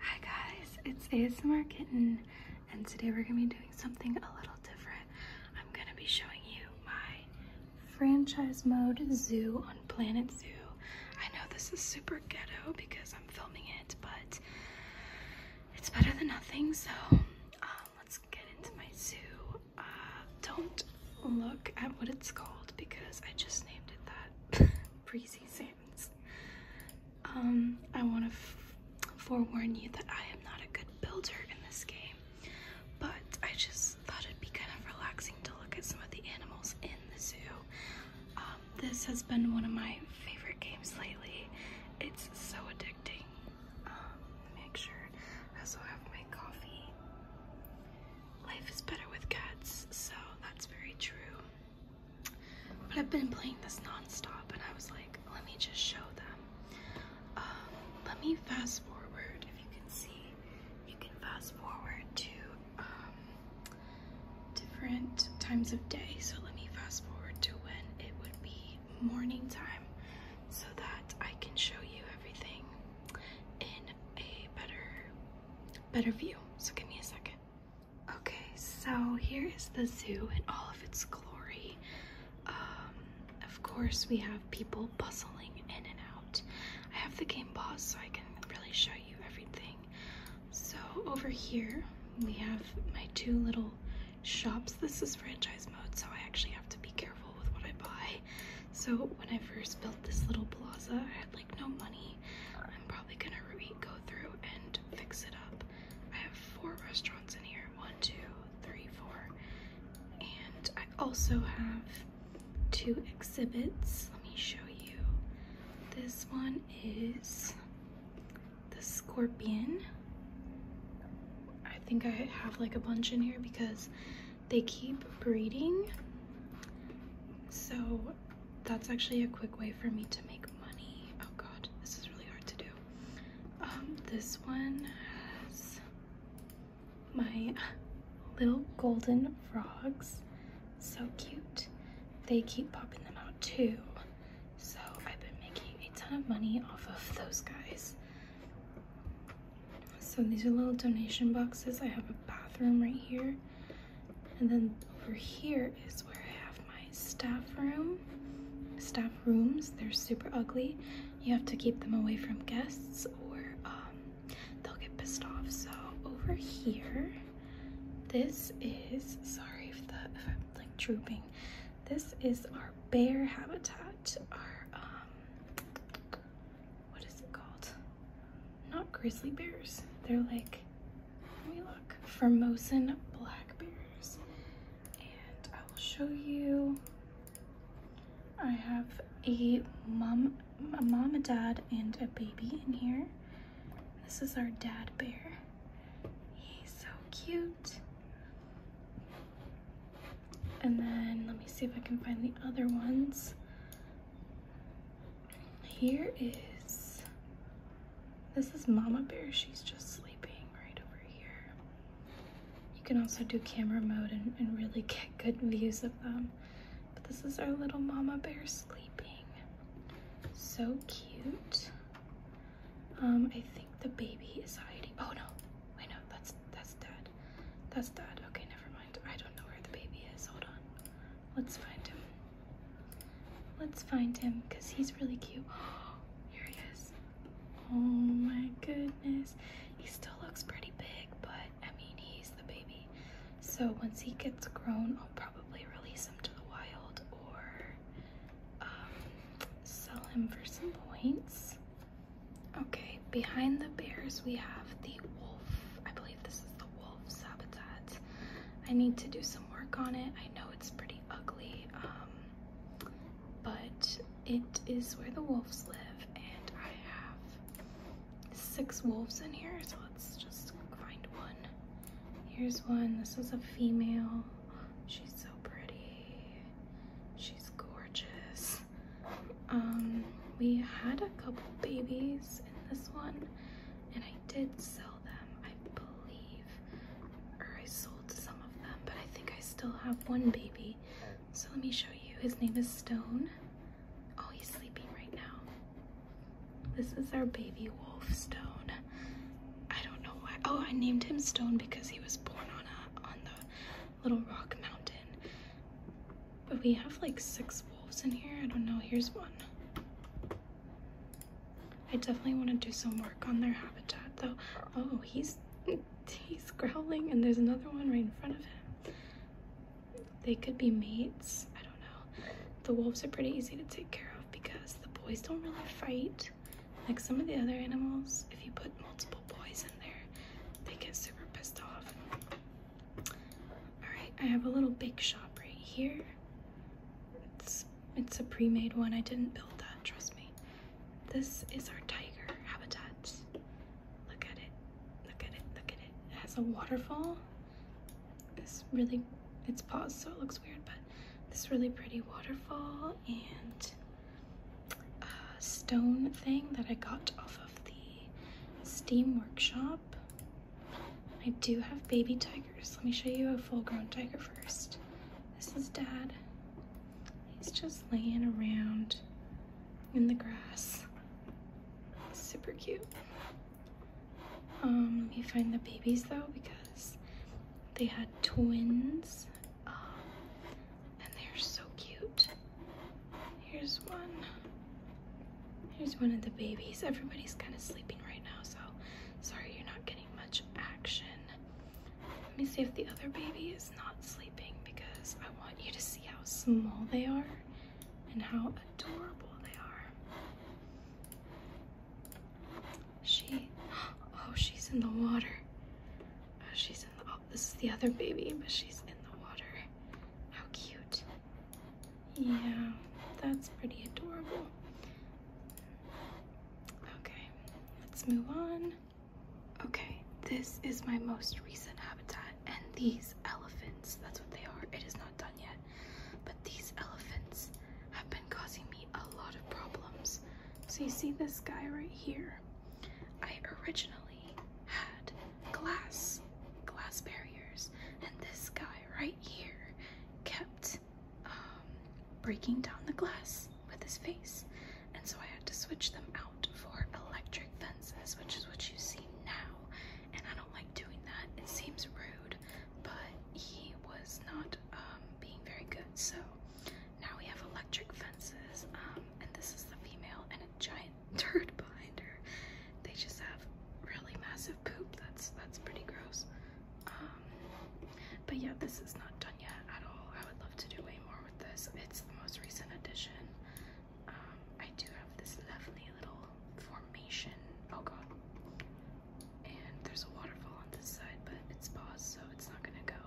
Hi guys, it's ASMR Kitten, and today we're gonna be doing something a little different. I'm gonna be showing you my franchise mode zoo on Planet Zoo. I know this is super ghetto because I'm filming it, but it's better than nothing, so um, let's get into my zoo. Uh, don't look at what it's called because I just named it that. Breezy Sam. Um, I want to forewarn you that I am not a good builder in this game, but I just thought it'd be kind of relaxing to look at some of the animals in the zoo. Um, this has been one of my favorite games lately. It's so addicting. Um, make sure I also have my coffee. Life is better with cats, so that's very true. But I've been playing this nonstop, and I was like, let me just show them. Um, let me fast forward, if you can see, you can fast forward to um, different times of day. So let me fast forward to when it would be morning time so that I can show you everything in a better, better view. So give me a second. Okay, so here is the zoo in all of its glory. Um, of course, we have people bustling in and out. I have the game paused so I can really show you everything. So over here, we have my two little shops. This is franchise mode, so I actually have to be careful with what I buy. So when I first built this little plaza, I had like no money, I'm probably gonna go through and fix it up. I have four restaurants in here one, two, three, four, and I also have two exhibits. Let me show you. This one is the scorpion. I think I have like a bunch in here because they keep breeding. So that's actually a quick way for me to make money. Oh god, this is really hard to do. Um, this one has my little golden frogs. So cute. They keep popping them out too. So I've been making a ton of money off of those guys. So these are little donation boxes. I have a bathroom right here and then over here is where I have my staff room. Staff rooms, they're super ugly. You have to keep them away from guests or um, they'll get pissed off. So over here, this is, sorry if, the, if I'm like drooping, this is our bear habitat, our, um, what is it called? not grizzly bears. They're like, we me look, Formosan black bears. And I will show you. I have a mom, a mom, a dad, and a baby in here. This is our dad bear. He's so cute. And then let me see if I can find the other ones here is this is mama bear she's just sleeping right over here you can also do camera mode and, really get good views of them but this is our little mama bear sleeping so cute um i think the baby is hiding oh no wait no that's that's dad that's dad okay never mind i don't know where the baby is hold on Let's find him. Let's find him because he's really cute. Here he is. Oh my goodness. He still looks pretty big, but I mean, he's the baby. So once he gets grown, I'll probably release him to the wild or um, sell him for some points. Okay, behind the bears, we have the wolf. I believe this is the habitat. I need to do some work on it. I know it's pretty ugly, um, but it is where the wolves live, and I have six wolves in here, so let's just find one. Here's one. This is a female. She's so pretty. She's gorgeous. Um, we had a couple babies in this one, and I did sell them, I believe, or I sold some of them, but I think I still have one baby. So let me show you. His name is Stone. Oh, he's sleeping right now. This is our baby wolf, Stone. I don't know why. Oh, I named him Stone because he was born on a on the Little Rock Mountain. But We have like six wolves in here. I don't know. Here's one. I definitely want to do some work on their habitat though. Oh, he's he's growling and there's another one right in front of him. They could be mates. I don't know. The wolves are pretty easy to take care of because the boys don't really fight like some of the other animals. If you put multiple boys in there, they get super pissed off. All right, I have a little bake shop right here. It's it's a pre-made one. I didn't build that, trust me. This is our tiger habitat. Look at it. Look at it. Look at it. It has a waterfall. This really it's paused so it looks weird, but this really pretty waterfall and a stone thing that I got off of the Steam Workshop I do have baby tigers. Let me show you a full grown tiger first. This is dad. He's just laying around in the grass. Super cute. Um, let me find the babies though because they had twins. Um, and they're so cute. Here's one. Here's one of the babies. Everybody's kind of sleeping right now, so sorry you're not getting much action. Let me see if the other baby is not sleeping because I want you to see how small they are and how adorable they are. She, oh, she's in the water. Oh, she's in the, oh, this is the other baby, but she's in the water. How cute. Yeah, that's pretty adorable. Okay, let's move on. Okay, this is my most recent habitat and these elephants, that's what they are. It is not done yet, but these elephants have been causing me a lot of problems. So you see this guy right here. I originally had glass glass barriers and this guy right here kept um, breaking down the glass with his face and so I had to switch them out for electric fences which is what you see now and I don't like doing that it seems rude but he was not um, being very good so now we have electric fences um, and this is the female and a giant dirt behind her. They just have really massive poop. That's that's pretty gross. Um, but yeah, this is not done yet at all. I would love to do way more with this. It's the most recent addition. Um, I do have this lovely little formation. Oh god. And there's a waterfall on this side, but it's paused, so it's not gonna go.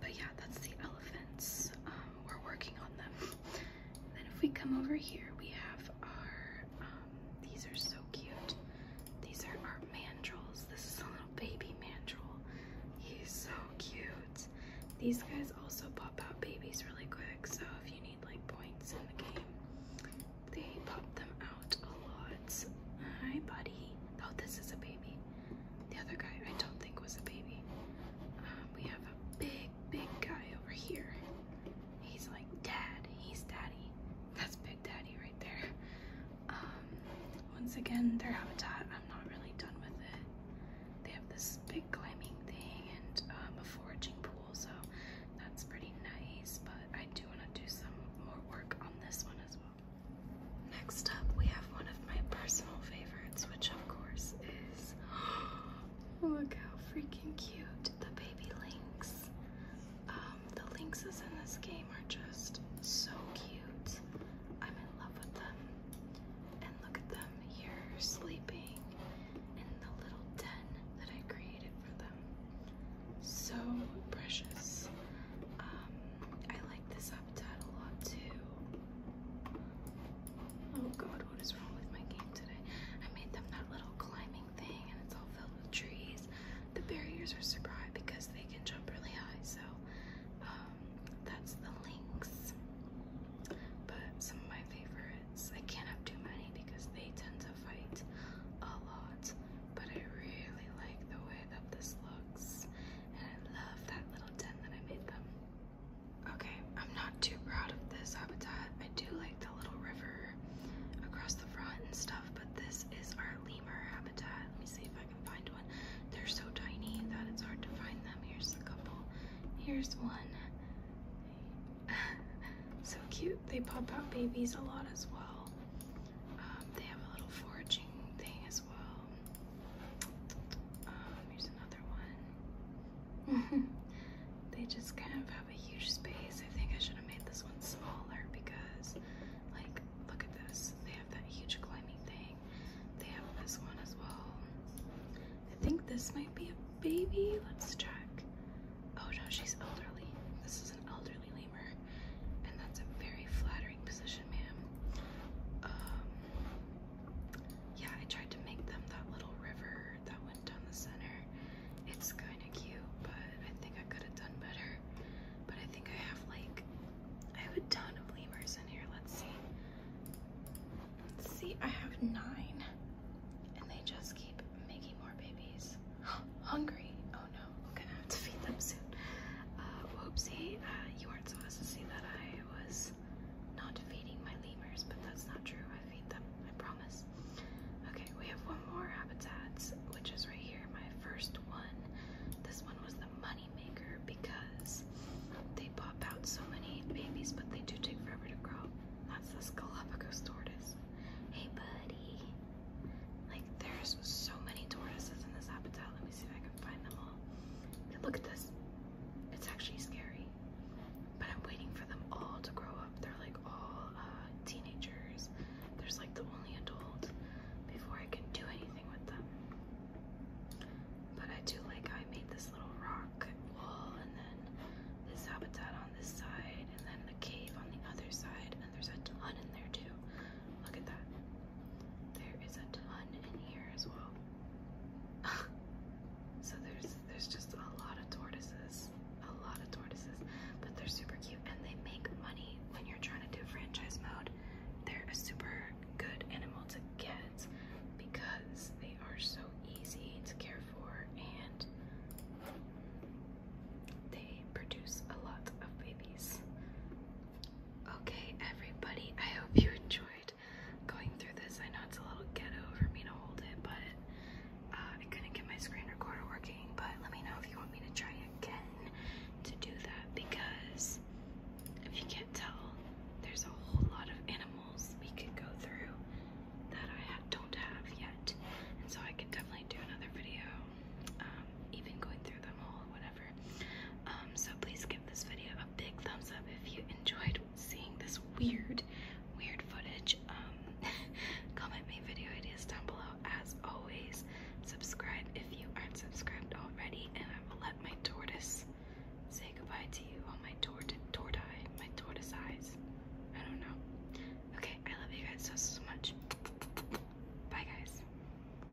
But yeah, that's the elephants. Um, we're working on them. And if we come over here, we have our, um, these are so cute. These are our mandrels. This is a little baby mandrel. He's so cute. These guys also pop out babies really quick, so if you need like points in the game, they pop them out a lot. Hi, buddy. Oh, this is a baby. The other guy I don't think was a baby. Um, we have a big, big guy over here. He's like dad. He's daddy. That's Big Daddy right there. Um, once again, their habitat, I'm not really done with it. They have this big climbing thing and um, a foraging pool, so that's pretty nice, but I do want to do some more work on this one as well. Next up, we have one of my personal favorites, which of course is. Look how freaking cute the baby lynx. Um, the lynxes in this game are just so cute. I'm in love with them. And look at them here sleeping in the little den that I created for them. So precious. Um, I like this habitat a lot too. Oh god, what is wrong with my game today? I made them that little climbing thing and it's all filled with trees. The barriers are super because they can jump really high, so um, that's the links. But some of my favorites, I can't have too many because they tend to fight a lot. But I really like the way that this looks, and I love that little den that I made them. Okay, I'm not too proud of this habitat. I do like the little river across the front and stuff, but this is our lemur habitat. Let me see if I can find one. They're so tiny that it's hard to find them. Here's a couple. Here's one. so cute. They pop out babies a lot as well. Um, they have a little foraging thing as well. Um, here's another one. they just kind of have a huge space. I think I should have made this one smaller because, like, look at this. They have that huge climbing thing. They have this one as well. I think this might be a baby. Let's check. Oh no, she's elderly. This is an elderly lemur. And that's a very flattering position, ma'am. Um, yeah, I tried to make them that little river that went down the center. It's kind of cute, but I think I could have done better. But I think I have like, I have a ton of lemurs in here. Let's see. Let's see, I have nine. And they just keep making more babies. Hungry. Oh no, I'm gonna have to feed them soon. Uh, whoopsie, uh, you aren't supposed to see that. I I was not feeding my lemurs, but that's not true. I feed them, I promise. Okay, we have one more habitat, which is right here. My first one. This one was the money maker because they pop out so many babies, but they do take forever to grow. That's the Galapagos tortoise. Hey, buddy. Like, there's so many tortoises in this habitat. Let me see if I can find them all look at this. It's actually scary. But I'm waiting for them all to grow up. They're like all uh, teenagers. There's like the only adult before I can do anything with them. But I do like how I made this little rock wall and then this habitat on this side and then the cave on the other side. And there's a ton in there too. Look at that. There is a ton in here as well. so there's there's just a lot of tortoises. A lot of tortoises. But they're super cute and they make money when you're trying to do franchise mode. They're a super good animal to get because they are so easy to care for and they produce a lot of babies. Okay, everybody, I hope you enjoyed going through this. I know it's a little ghetto for me to hold it, but uh, I couldn't get my screen recorder working. But let me know if you want me to try again to do that because if you can't tell, there's a whole lot of animals we could go through that I don't have yet. And so I could definitely do another video, um, even going through them all, whatever. Um, so please give this video a big thumbs up if you enjoyed seeing this weird, weird footage. Um, comment me video ideas down below as always. Subscribe if you aren't subscribed already, and I will let my tortoise say goodbye to you on my tort tortie, my tortoise eyes. I don't know. Okay, I love you guys so so much. Bye guys.